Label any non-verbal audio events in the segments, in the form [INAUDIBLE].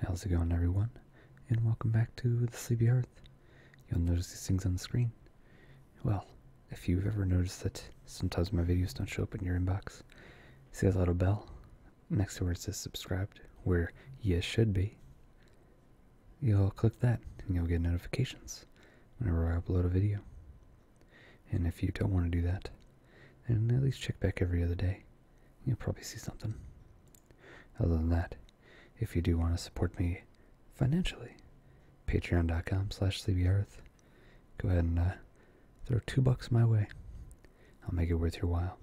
How's it going everyone? And welcome back to the Sleepy Earth. You'll notice these things on the screen. Well, if you've ever noticed that sometimes my videos don't show up in your inbox, see that little bell next to where it says subscribed, where you should be, you'll click that and you'll get notifications whenever I upload a video. And if you don't want to do that, then at least check back every other day you'll probably see something. Other than that, if you do want to support me financially, patreon.com slash sleepyearth, go ahead and uh, throw two bucks my way. I'll make it worth your while.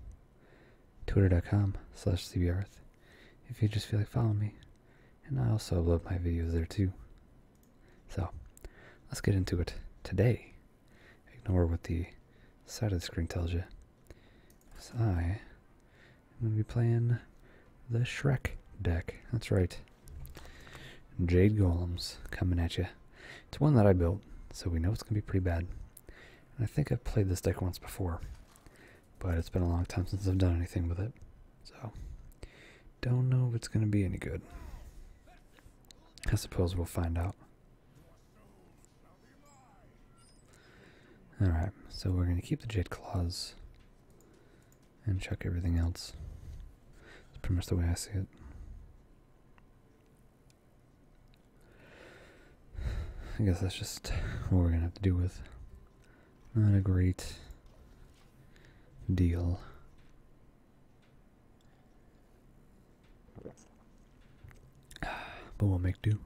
Twitter.com slash sleepyearth, if you just feel like following me. And I also upload my videos there too. So, let's get into it today. Ignore what the side of the screen tells you. Because I am going to be playing the Shrek deck. That's right. Jade Golems coming at you. It's one that I built, so we know it's going to be pretty bad. And I think I've played this deck once before, but it's been a long time since I've done anything with it. So, don't know if it's going to be any good. I suppose we'll find out. Alright, so we're going to keep the Jade Claws and chuck everything else. That's pretty much the way I see it. I guess that's just what we're going to have to do with. Not a great deal. [SIGHS] But we'll make do.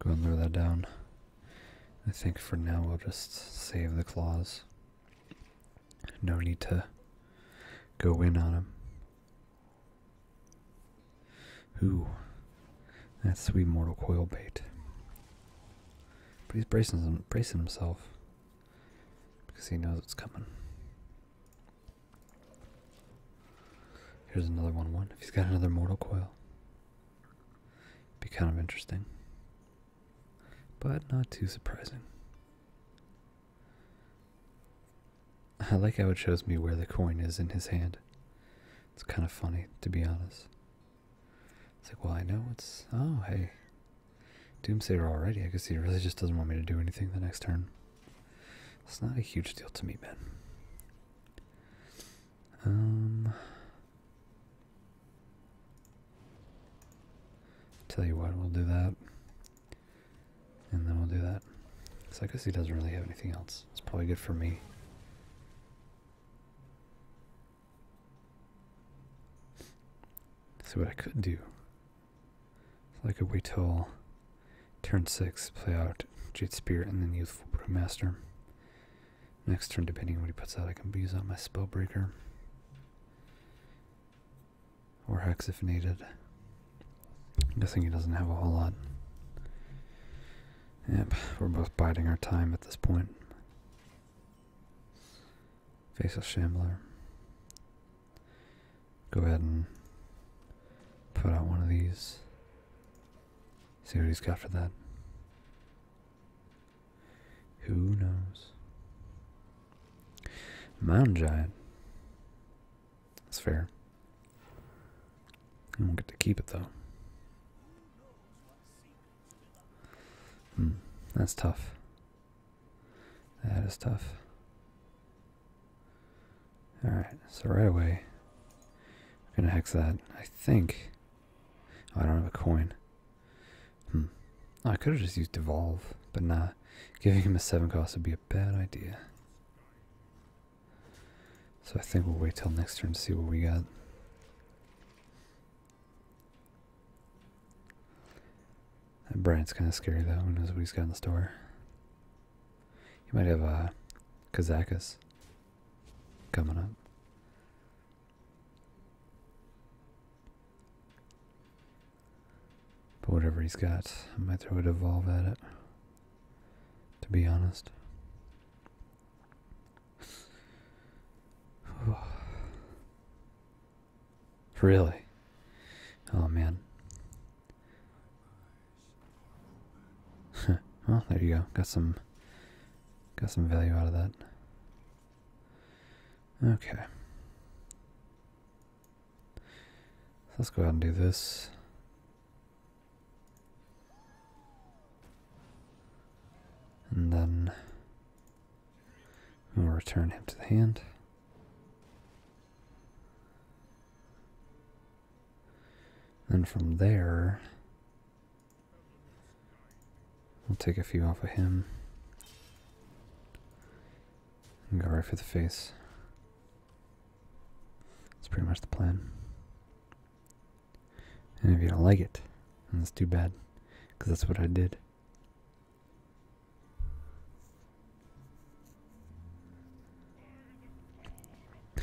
Go and lure that down. I think for now we'll just save the claws. No need to go in on him. Ooh, that's sweet mortal coil bait. But he's him, bracing himself because he knows it's coming. Here's another one one. If he's got another mortal coil. Be kind of interesting. But not too surprising. I like how it shows me where the coin is in his hand. It's kind of funny, to be honest. It's like, well, I know it's. Oh, hey. Doomsayer already. I guess he really just doesn't want me to do anything the next turn. It's not a huge deal to me, man. Um, tell you what, we'll do that. And then we'll do that. Cause I guess he doesn't really have anything else. It's probably good for me see what I could do. So I could wait till turn 6, play out Jade Spirit, and then Youthful Brewmaster. Next turn, depending on what he puts out, I can use out my Spellbreaker. Or Hex if needed. I'm guessing he doesn't have a whole lot. Yep, we're both biding our time at this point. Faceless Shambler. Go ahead and put out one of these. See what he's got for that. Who knows? Mountain Giant. That's fair. I won't get to keep it though. Hmm, that's tough. That is tough. Alright, so right away, I'm going to hex that. I think. Oh, I don't have a coin. Hmm. Oh, I could have just used Devolve, but nah. Giving him a 7 cost would be a bad idea. So I think we'll wait till next turn to see what we got. That Bryant's kind of scary though. Who knows what he's got in the store? He might have a uh, Kazakus coming up. But whatever he's got, I might throw a devolve at it. To be honest. [SIGHS] Really? Oh man. [LAUGHS] well, there you go. Got some got some value out of that. Okay. Let's go ahead and do this. And then We'll return him to the hand. And from there, we'll take a few off of him. And go right for the face. That's pretty much the plan. And if you don't like it, that's too bad, because that's what I did.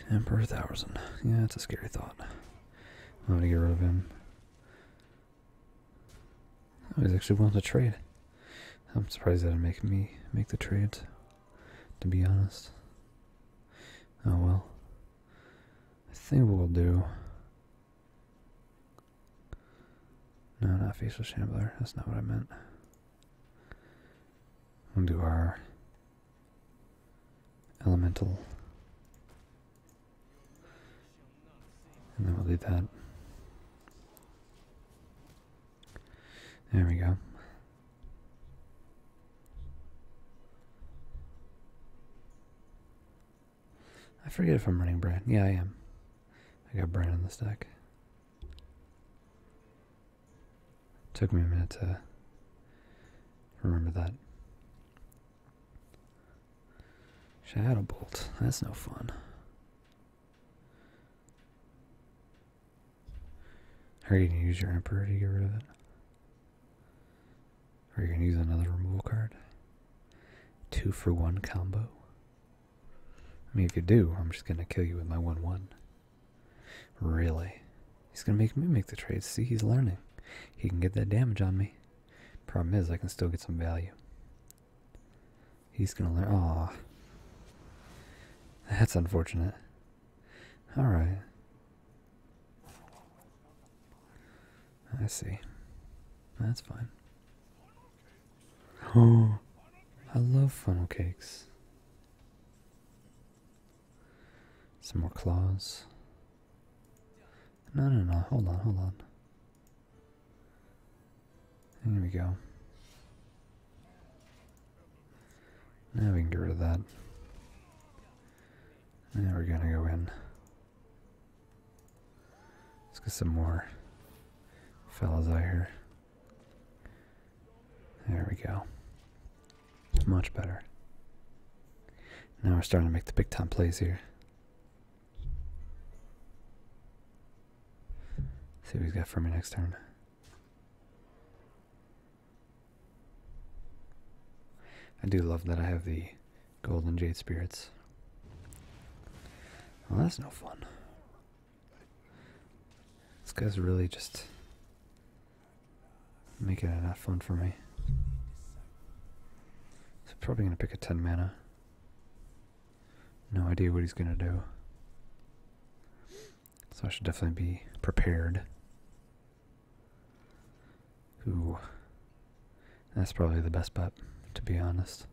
Emperor Thousand. Yeah, it's a scary thought. I'm gonna get rid of him. Oh, he's actually willing to trade. I'm surprised that didn't make me make the trades, to be honest. Oh well. I think we'll do no, not Feast with Shambler. That's not what I meant. We'll do our elemental. And then we'll do that. There we go. I forget if I'm running brand. Yeah, I am. I got brand in this deck. Took me a minute to remember that. Shadow Bolt. That's no fun. Are you going to use your Emperor to get rid of it? Or are you going to use another removal card? Two for one combo. I mean, if you do, I'm just going to kill you with my 1 1. Really? He's going to make me make the trade. See, he's learning. He can get that damage on me. Problem is, I can still get some value. He's going to learn. Oh, That's unfortunate. Alright. I see. That's fine. Oh, I love funnel cakes. Some more claws. No, no, no. Hold on, hold on. There we go. Now we can get rid of that. Now we're gonna go in. Let's get some more fellas out here. There we go. Much better. Now we're starting to make the big time plays here. See what he's got for me next turn. I do love that I have the golden jade spirits. Well, that's no fun. This guy's really just making it not fun for me. probably gonna pick a ten mana. No idea what he's gonna do. So I should definitely be prepared. Ooh. That's probably the best bet, to be honest.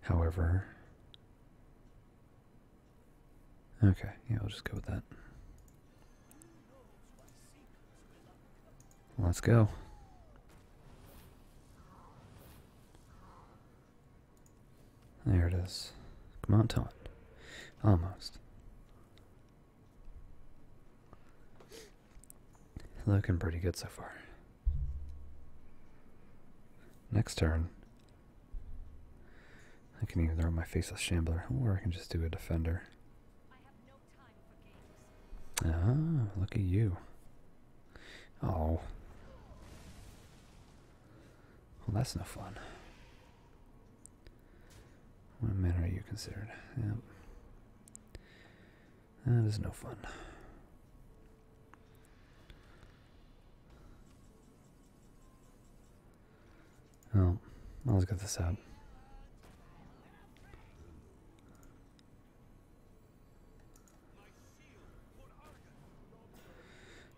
However, okay, yeah, we'll just go with that. Let's go. There it is. Come on, Ton. Almost. Looking pretty good so far. Next turn, I can either throw my faceless shambler, or I can just do a defender. ah, look at you. Oh. Well, that's no fun. What man are you considered? Ah, that is no fun. oh, I'll get this out.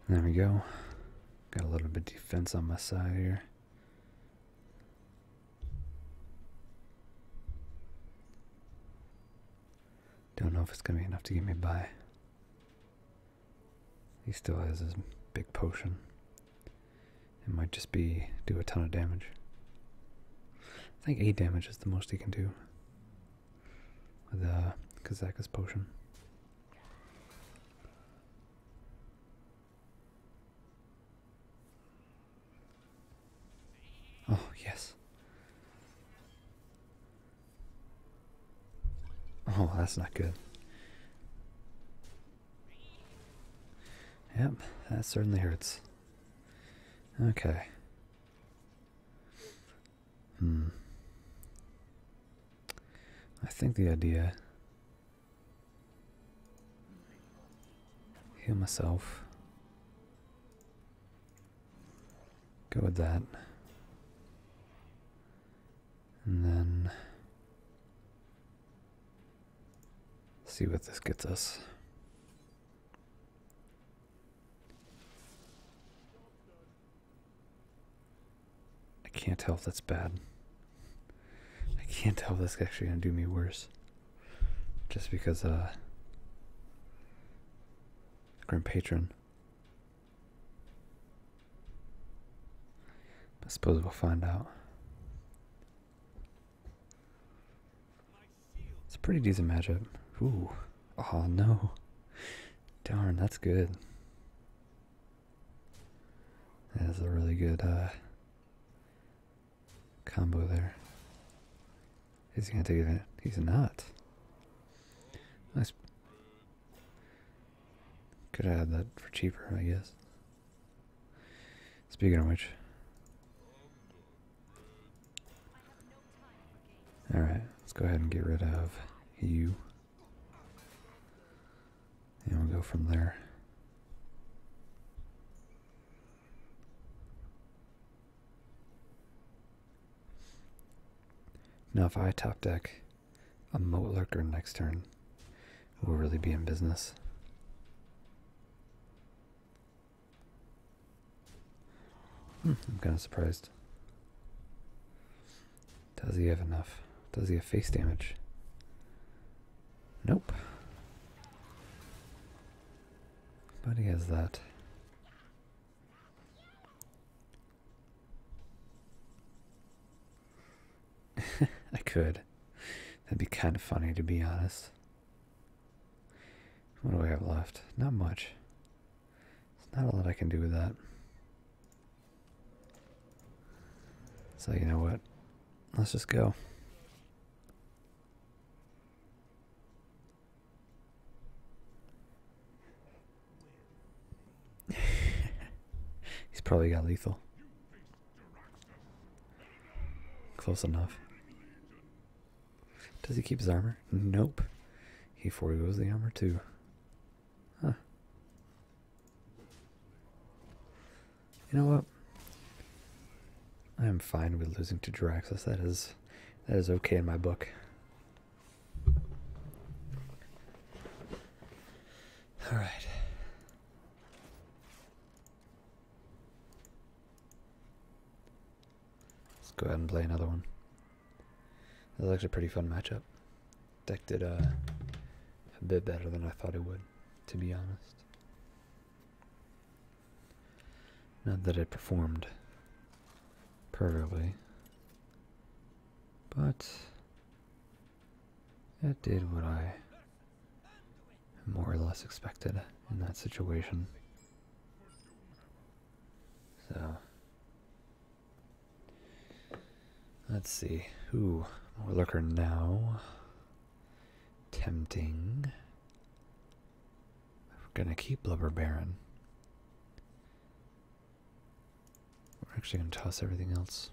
There we go. Got a little bit of defense on my side here. Don't know if it's going to be enough to get me by. He still has his big potion. It might just be do a ton of damage. I think 8 damage is the most he can do with the uh, Kazaka's potion. Oh, yes. Oh, that's not good. Yep, that certainly hurts. Okay. Hmm. I think the idea. Heal myself. Go with that. And then see what this gets us. I can't tell if that's bad. I can't tell if that's actually going to do me worse. Just because, uh, Grand Patron. I suppose we'll find out. It's a pretty decent matchup. Ooh. Oh no. Darn, that's good. That is a really good uh, combo there. He's he gonna do that? He's not. I Could have had that for cheaper, I guess. Speaking of which. Alright, let's go ahead and get rid of you. And we'll go from there. Now, if I top deck a Moat Lurker next turn, we'll really be in business. Hmm, I'm kind of surprised. Does he have enough? Does he have face damage? Nope. But he has that. [LAUGHS] I could. That'd be kind of funny, to be honest. What do we have left? Not much. It's not a lot I can do with that. So, you know what? Let's just go. [LAUGHS] He's probably got lethal. Close enough. Does he keep his armor? Nope. He foregoes the armor too. Huh. You know what? I am fine with losing to Draxus. That is that is okay in my book. All right. Let's go ahead and play another one. Looks was a pretty fun matchup. Decked it uh, a bit better than I thought it would, to be honest. Not that it performed Probably, But it did what I more or less expected in that situation. So let's see. Ooh, more lurker now. Tempting. We're gonna keep Blubber Baron. We're actually going to toss everything else.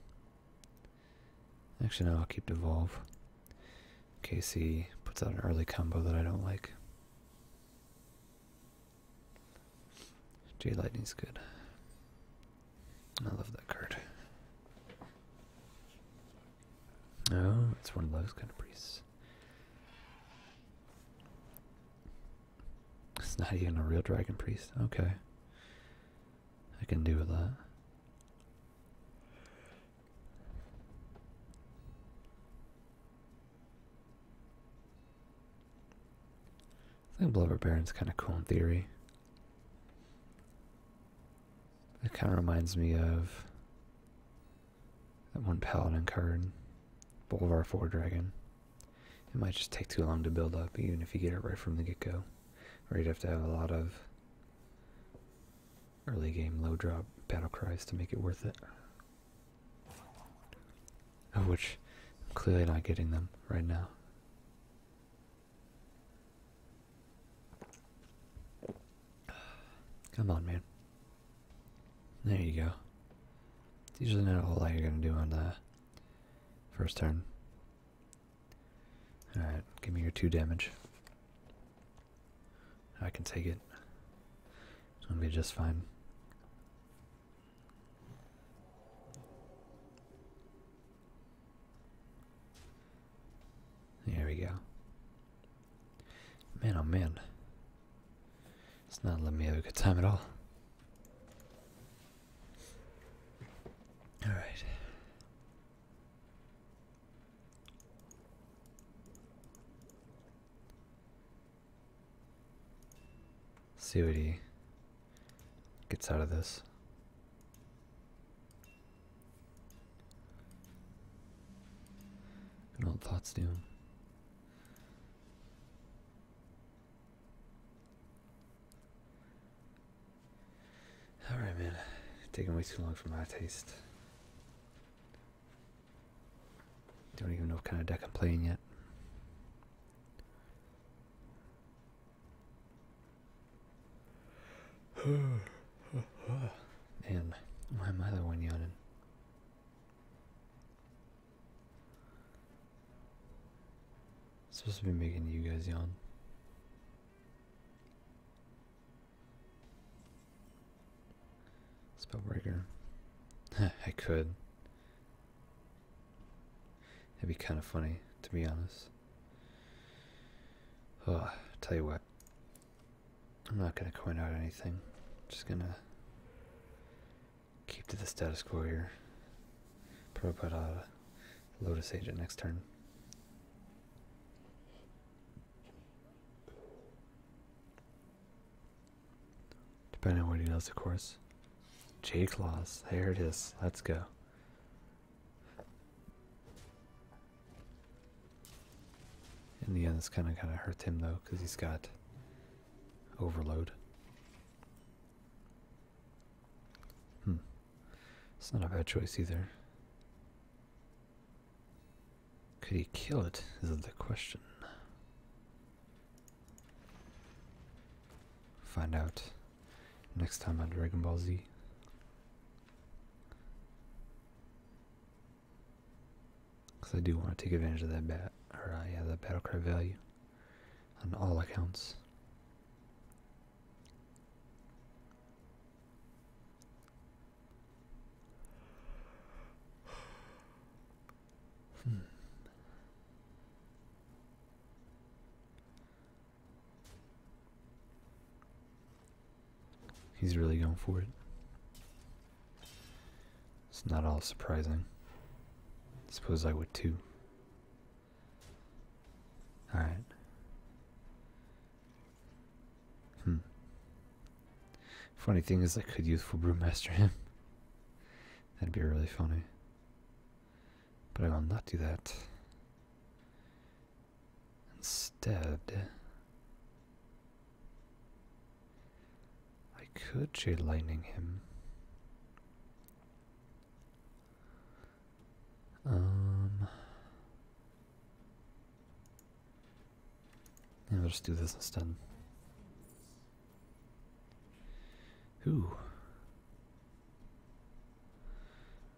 Actually, no, I'll keep Devolve. Casey puts out an early combo that I don't like. J Lightning's good. I love that card. Oh, it's one of those kind of priests. It's not even a real dragon priest. Okay. I can do with that. I think Blubber Baron's kind of cool in theory. It kind of reminds me of that one paladin card, Bolvar Four Dragon. It might just take too long to build up, even if you get it right from the get-go. Or you'd have to have a lot of early game low drop battle cries to make it worth it. Of which I'm clearly not getting them right now. [SIGHS] Come on, man. There you go. It's usually not a whole lot you're going to do on the first turn. Alright, give me your two damage. I can take it. It's going to be just fine. There we go. Man, oh man. It's not letting me have a good time at all. All right. See what he gets out of this. And old thoughts do. All right, man. Taking way too long for my taste. Don't even know what kind of deck I'm playing yet. [SIGHS] Man, my mother went yelling supposed to be making you guys yawn. Spellbreaker. [LAUGHS] I could. It'd be kind of funny, to be honest. Oh, tell you what. I'm not gonna coin out anything. just gonna keep to the status quo here. Probably put a uh, Lotus Agent next turn. Depending on what he does, of course. J Claws, there it is. Let's go. In the end, this kind of kind of hurts him though, because he's got overload. Hmm. It's not a bad choice either. Could he kill it? Is the question. Find out next time on Dragon Ball Z. Because I do want to take advantage of that bat, or uh, yeah, that battle cry value on all accounts. Hmm. He's really going for it. It's not all surprising. I suppose I would too. Alright. Hmm. Funny thing is, I could youthful brewmaster him. That'd be really funny. But I will not do that. Instead, I could Jade Lightning him. Um. Yeah, we just do this instead. Ooh.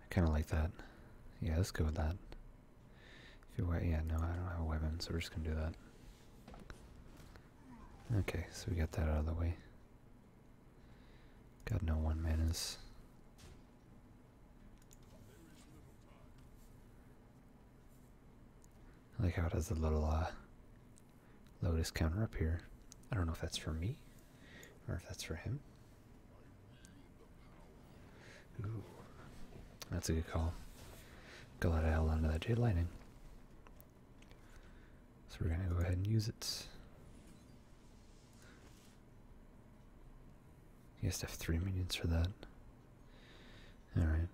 I kind of like that. Yeah, let's go with that. If you yeah, no, I don't have a weapon, so we're just gonna do that. Okay, so we got that out of the way. Got no one man is. like how it has the little uh, Lotus counter up here. I don't know if that's for me or if that's for him. that's a good call. Go let hell under that Jade Lightning. So we're going to go ahead and use it. You have to have three minions for that. Alright.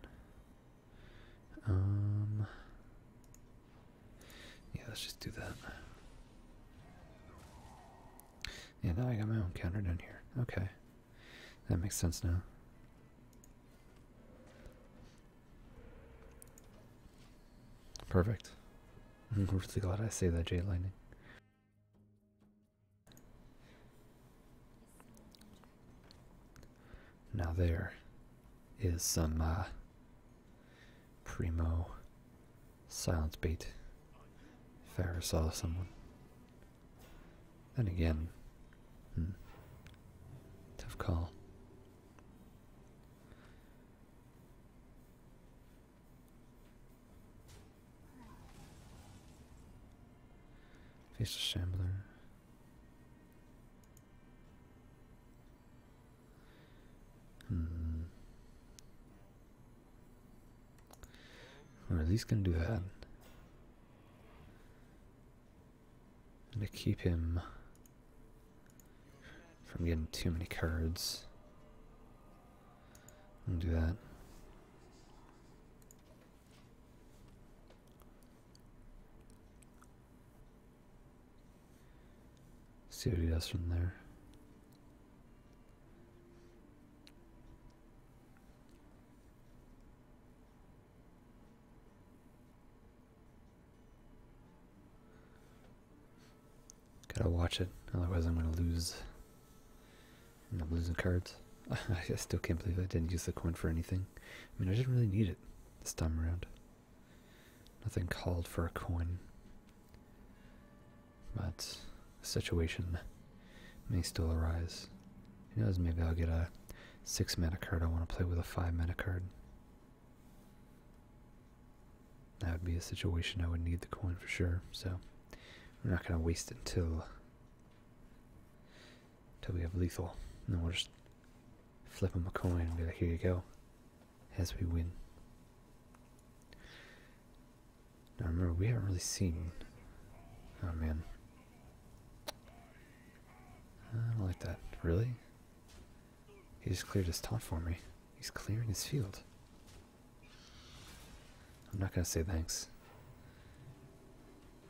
Um, yeah, let's just do that. Yeah, now I got my own counter down here. Okay. That makes sense now. Perfect. I'm [LAUGHS] really glad I saved that Jade Lightning. Now there is some uh, primo silence bait if saw someone. Then again, hmm, tough call. Face assembler. Hmm. Or at least can do that. And to keep him from getting too many cards. i am gonna do that. See what he does from there. Gotta watch it, otherwise I'm gonna lose. I'm losing cards. [LAUGHS] I still can't believe I didn't use the coin for anything. I mean, I didn't really need it this time around. Nothing called for a coin. But the situation may still arise. Who knows, maybe I'll get a 6 mana card I want to play with a 5 mana card. That would be a situation I would need the coin for sure, so we're not going to waste it until, until we have lethal. And then we'll just flip him a coin and be like, here you go, as we win. I remember, we haven't really seen... Oh man. I don't like that. Really? He just cleared his top for me. He's clearing his field. I'm not gonna say thanks.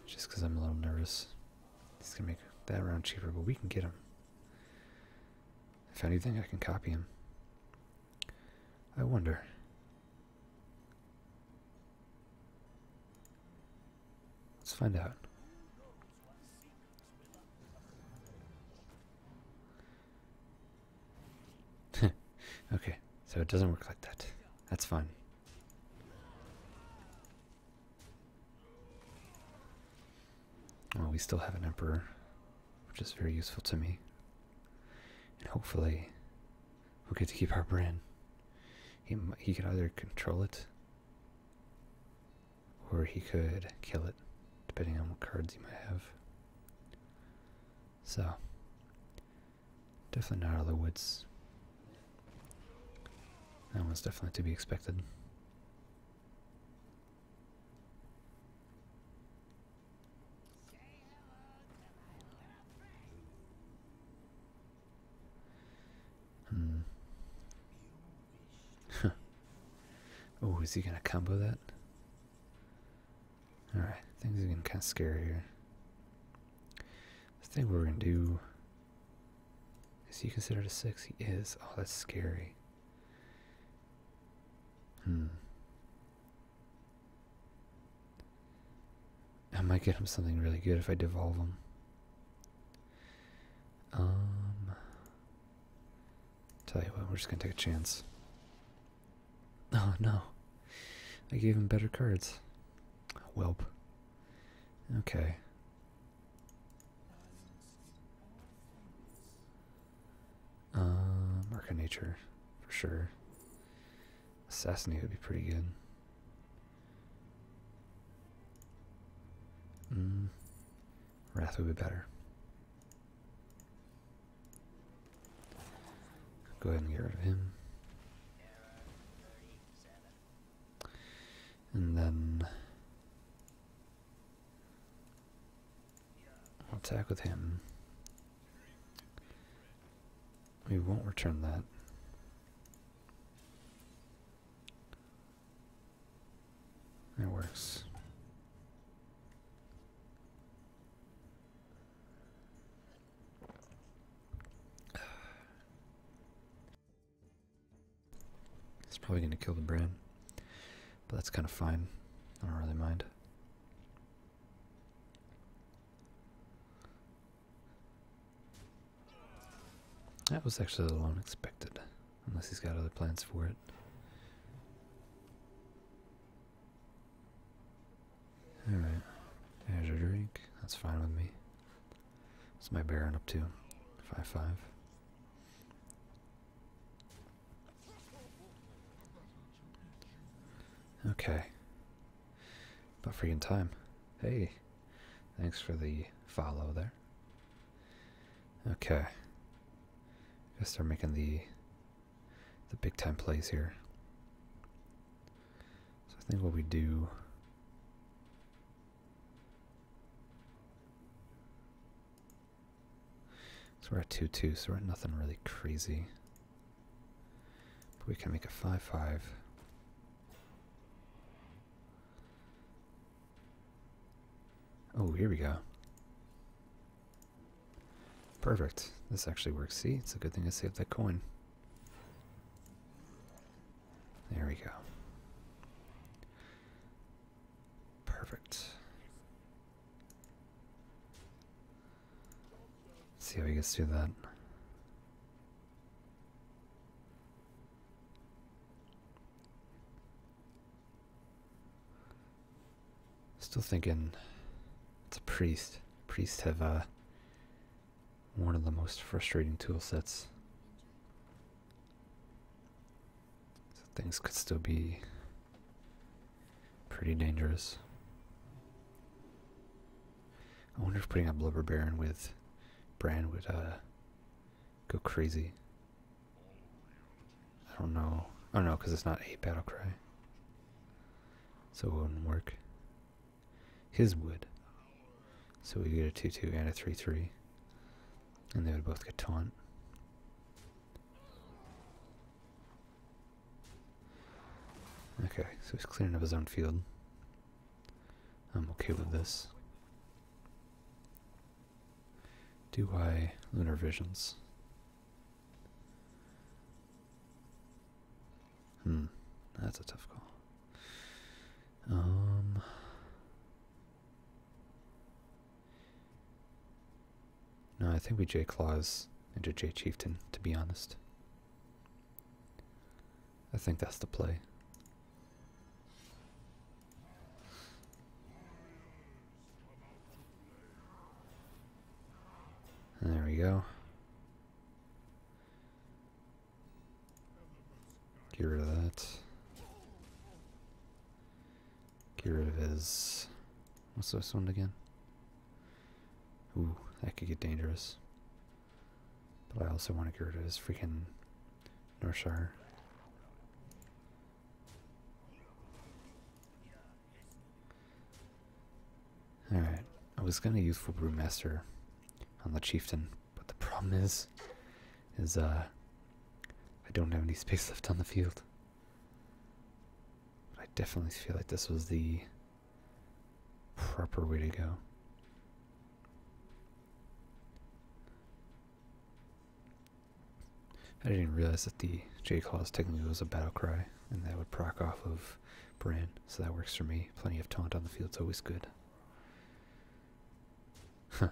Just because I'm a little nervous. He's gonna make that round cheaper, but we can get him. If anything, I can copy him. I wonder. Let's find out. [LAUGHS] okay, so it doesn't work like that. That's fine. Well, we still have an emperor, which is very useful to me. And hopefully, we'll get to keep our brand. He, he can either control it or he could kill it, depending on what cards he might have. So, definitely not out of the woods. That one's definitely to be expected. Hmm. [LAUGHS] oh, is he gonna combo that? Alright, things are getting kind of scary here. I think we're gonna do. Is he considered a six? He is. Oh, that's scary. Hmm. I might get him something really good if I devolve him. Um, tell you what, we're just gonna take a chance. [LAUGHS] Oh no, I gave him better cards. Whelp. Okay. Um, Arc of Nature, for sure. Assassinate would be pretty good. Mm, Wrath would be better. Go ahead and get rid of him. And then attack with him. We won't return that. It works. It's probably going to kill the brand, but that's kind of fine. I don't really mind. That was actually a little unexpected. Unless he's got other plans for it. Alright, there's your drink. That's fine with me. It's my Baron up to? 5-5. Five, five. Okay. About freaking time. Hey, thanks for the follow there. Okay. guess they're making the the big time plays here. So I think what we do So we're at 2 2, so we're at nothing really crazy. But we can make a 5 5. Oh, here we go. Perfect. This actually works. See, it's a good thing I saved that coin. There we go. Perfect. see how he gets through that. Still thinking it's a priest. Priests have uh, one of the most frustrating tool sets. So things could still be pretty dangerous. I wonder if putting a blubber baron with Brand would uh, go crazy. I don't know. I oh, don't know because it's not a battle cry. So it wouldn't work. His would. So we get a 2 2 and a 3 3. And they would both get taunt. Okay, so he's clearing up his own field. I'm okay with this. Do I lunar visions? Hmm, that's a tough call. Um, no, I think we J Claws into J Chieftain, to be honest. I think that's the play. There we go. Get rid of that. Get rid of his... What's this one again? Ooh, that could get dangerous. But I also want to get rid of his freaking Northshire. Alright, I was gonna use for on the Chieftain, but the problem is, is uh, I don't have any space [LAUGHS] left on the field. But I definitely feel like this was the proper way to go. I didn't realize that the J clause technically was a battle cry, and that would proc off of Bran, so that works for me. Plenty of taunt on the field field's always good. Huh.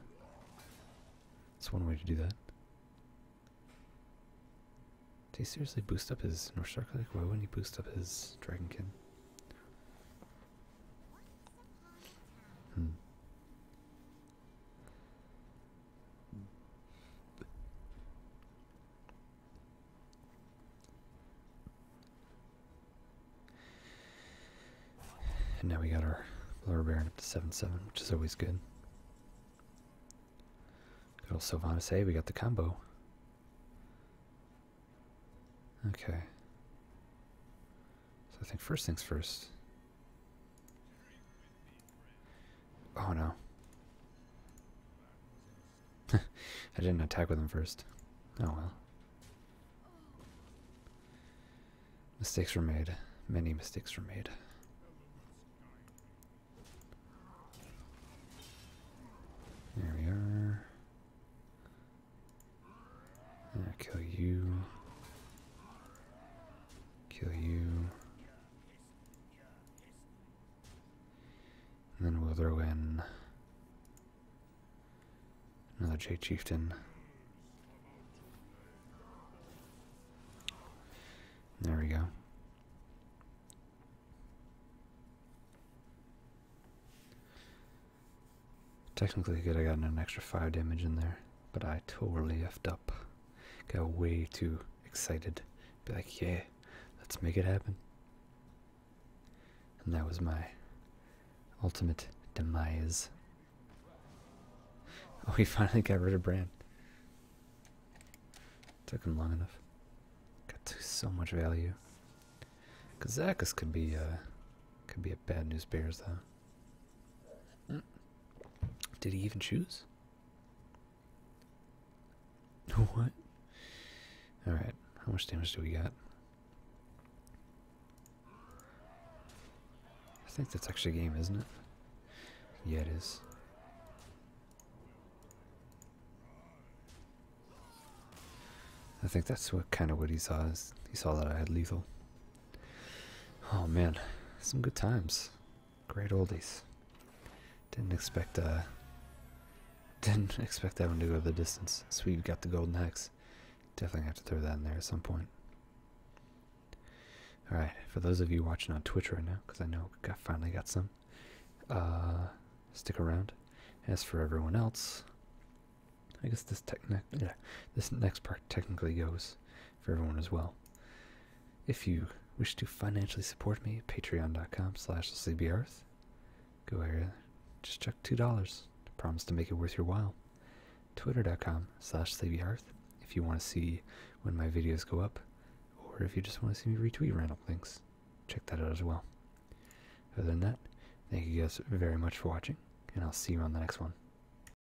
That's one way to do that. Did he seriously boost up his North Star Like, Why wouldn't he boost up his Dragonkin? Hmm. And now we got our blower bearing up to 7-7, which is always good. Good old Sylvanas. Eh? we got the combo. Okay. So I think first things first. Oh no. [LAUGHS] I didn't attack with him first. Oh well. Mistakes were made. Many mistakes were made. There we are. i kill you. Kill you. And then we'll throw in another J Chieftain. There we go. Technically good, I got an extra 5 damage in there but I totally effed up. Got way too excited. Be like, yeah, let's make it happen. And that was my ultimate demise. [LAUGHS] Oh, he finally got rid of Brand. Took him long enough. Got to so much value. Kazakus could be uh could be a bad news bears though. Mm. Did he even choose? [LAUGHS] what? Alright, how much damage do we get? I think that's actually a game, isn't it? Yeah, it is. I think that's what kind of what he saw. he saw that I had lethal. Oh man, some good times. Great oldies. Didn't expect uh [LAUGHS] didn't expect that one to go the distance. Sweet got the golden hex. Definitely have to throw that in there at some point. Alright, for those of you watching on Twitch right now, because I know I finally got some, uh, stick around. As for everyone else, I guess this technic yeah, this next part technically goes for everyone as well. If you wish to financially support me, patreon.com slash sleepyearth. Go there, just chuck $2. I promise to make it worth your while. Twitter.com slash sleepyearth if you want to see when my videos go up, or if you just want to see me retweet random things. Check that out as well. Other than that, thank you guys very much for watching, and I'll see you on the next one.